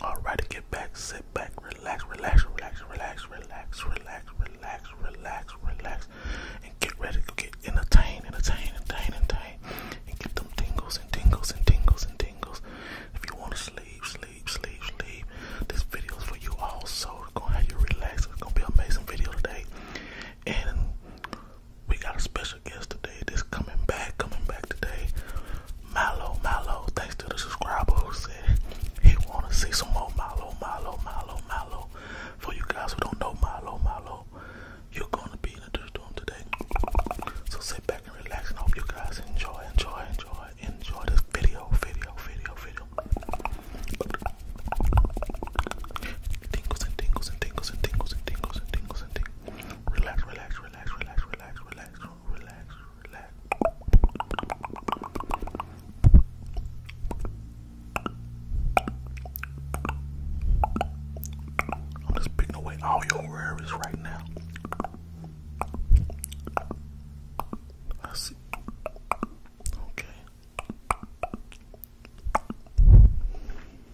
All right, get back, sit back, relax, relax, relax, relax, relax, relax, relax, relax, relax, and get ready to get entertained, entertained, entertained, entertained, and get them tingles and tingles and tingles and tingles. If you want to sleep, sleep, sleep, sleep, this video is for you also. It's gonna have you relax. It's gonna be an amazing video today, and we got a special special today. This coming back, coming back today. Milo, Milo, thanks to the subscriber who said he want to see some more Milo, Milo, Milo, Milo. For you guys who don't know Milo, Milo, you're going to be introduced to him today. So sit back and relax and hope you guys enjoy, enjoy, enjoy, enjoy this video, video, video, video. Tingles and tingles and tingles and tingles and tingles and tingles and tingles. Relax, relax, relax, relax, relax, relax. I'm just picking away all your worries right now. I see. Okay.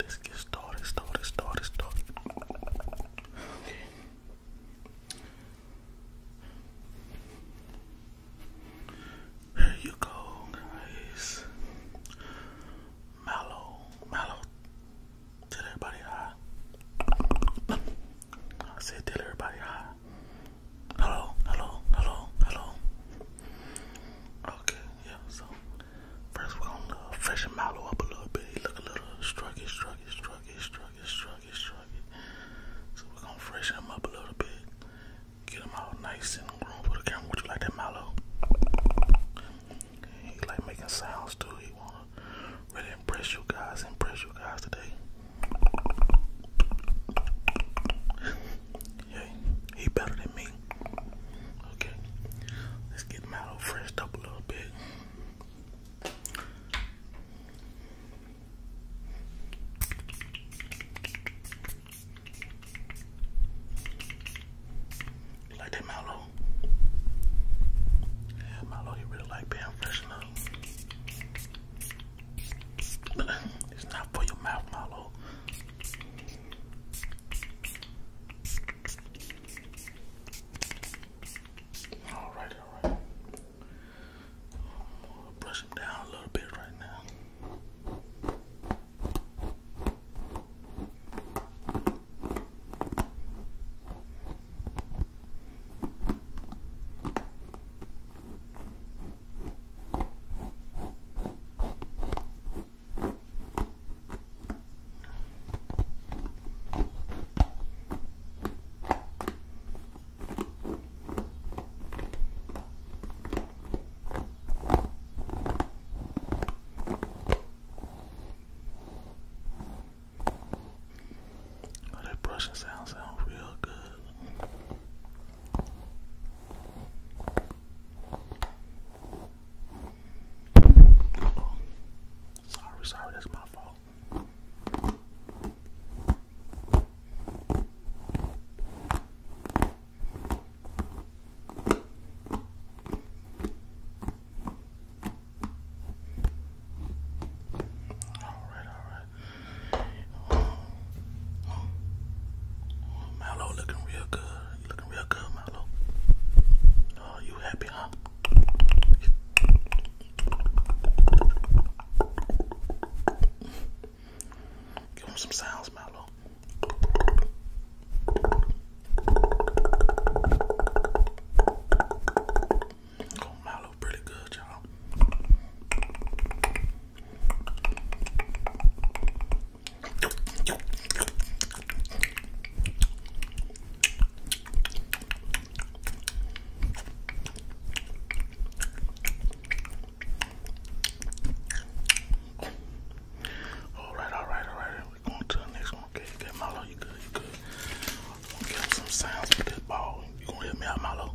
Let's get started, started, started, started. Here you go, guys. Mallow, Mallow. Tell everybody hi. I said tell everybody hi. Hello, hello, hello, hello. Okay, yeah, so First, we're gonna uh, freshen Milo up a little bit. He look a little struggy, struggy, struggy, struggy, struggy, struggy. So we're gonna freshen him up a little bit. Get him out nice and grown for the camera. Would you like that, Milo? He like making sounds too. He wanna really impress you guys, impress you guys today. yeah, he better than me. Okay, let's get them out freshed up a little bit. like that mallow? Yeah, mallow, you really like being fresh enough. it's not for your mouth, mallow. All right, brush him down a little bit right now. Oh, that brushing sound sounds real good sorry, sorry, that's my fault. Alright, alright. Um, um, looking real good. Oh, you happy, huh? Give him some sounds, Milo. Oh, Milo, pretty good, y'all. All right, all right, all going to the next one. Okay, okay, Milo, you good, you good. gonna get some sounds with this ball. You gonna hit me out, Milo?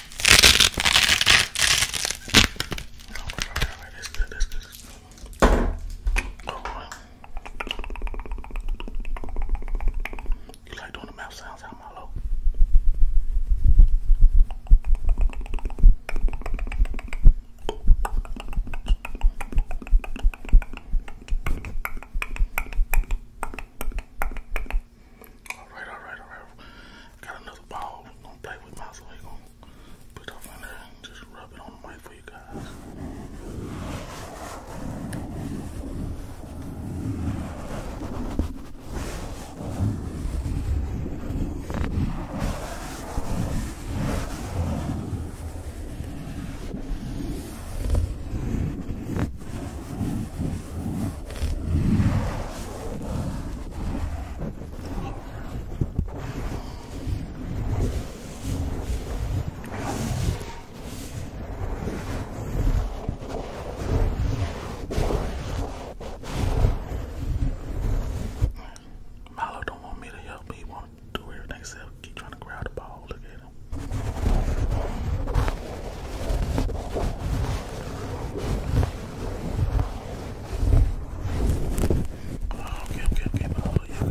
That's good, that's good. Oh, well. You like doing the mouth sounds out my low? All right, all right, all right. Got another ball. I'm play with my so we going put off on there just rub it on the mic for you guys. Milo don't want me to help He want to do everything except keep trying to grab the ball. Look at Alina. Oh, okay, okay, okay. Oh, yeah, come on. All right, no, give me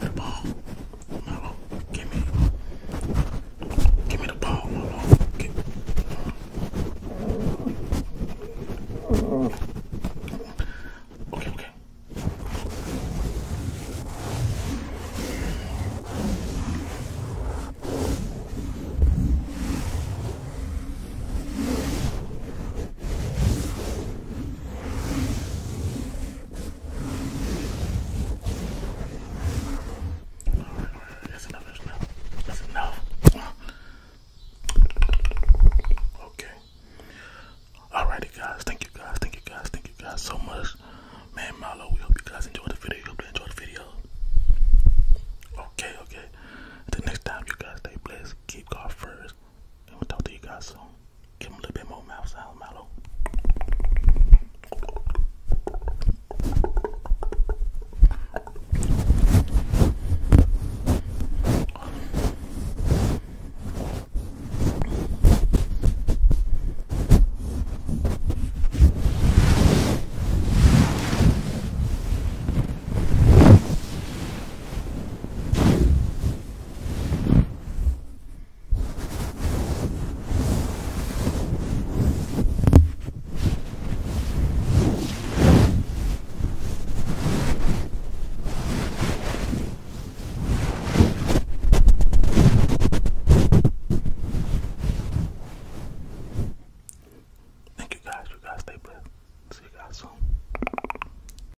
the ball. Milo, give me, give me the ball, Milo. Give, okay, okay. Alright, that's enough, that's enough. That's enough. Okay. Alrighty guys, thank you guys, thank you guys, thank you guys so much. Man Malo, we hope you guys enjoyed the video. Hope you enjoyed the video. Okay, okay. Until next time you guys stay blessed. Keep God first. And we'll talk to you guys soon. Give them a little bit more mouth sound, Thank you guys. You guys stay blessed. See you guys soon.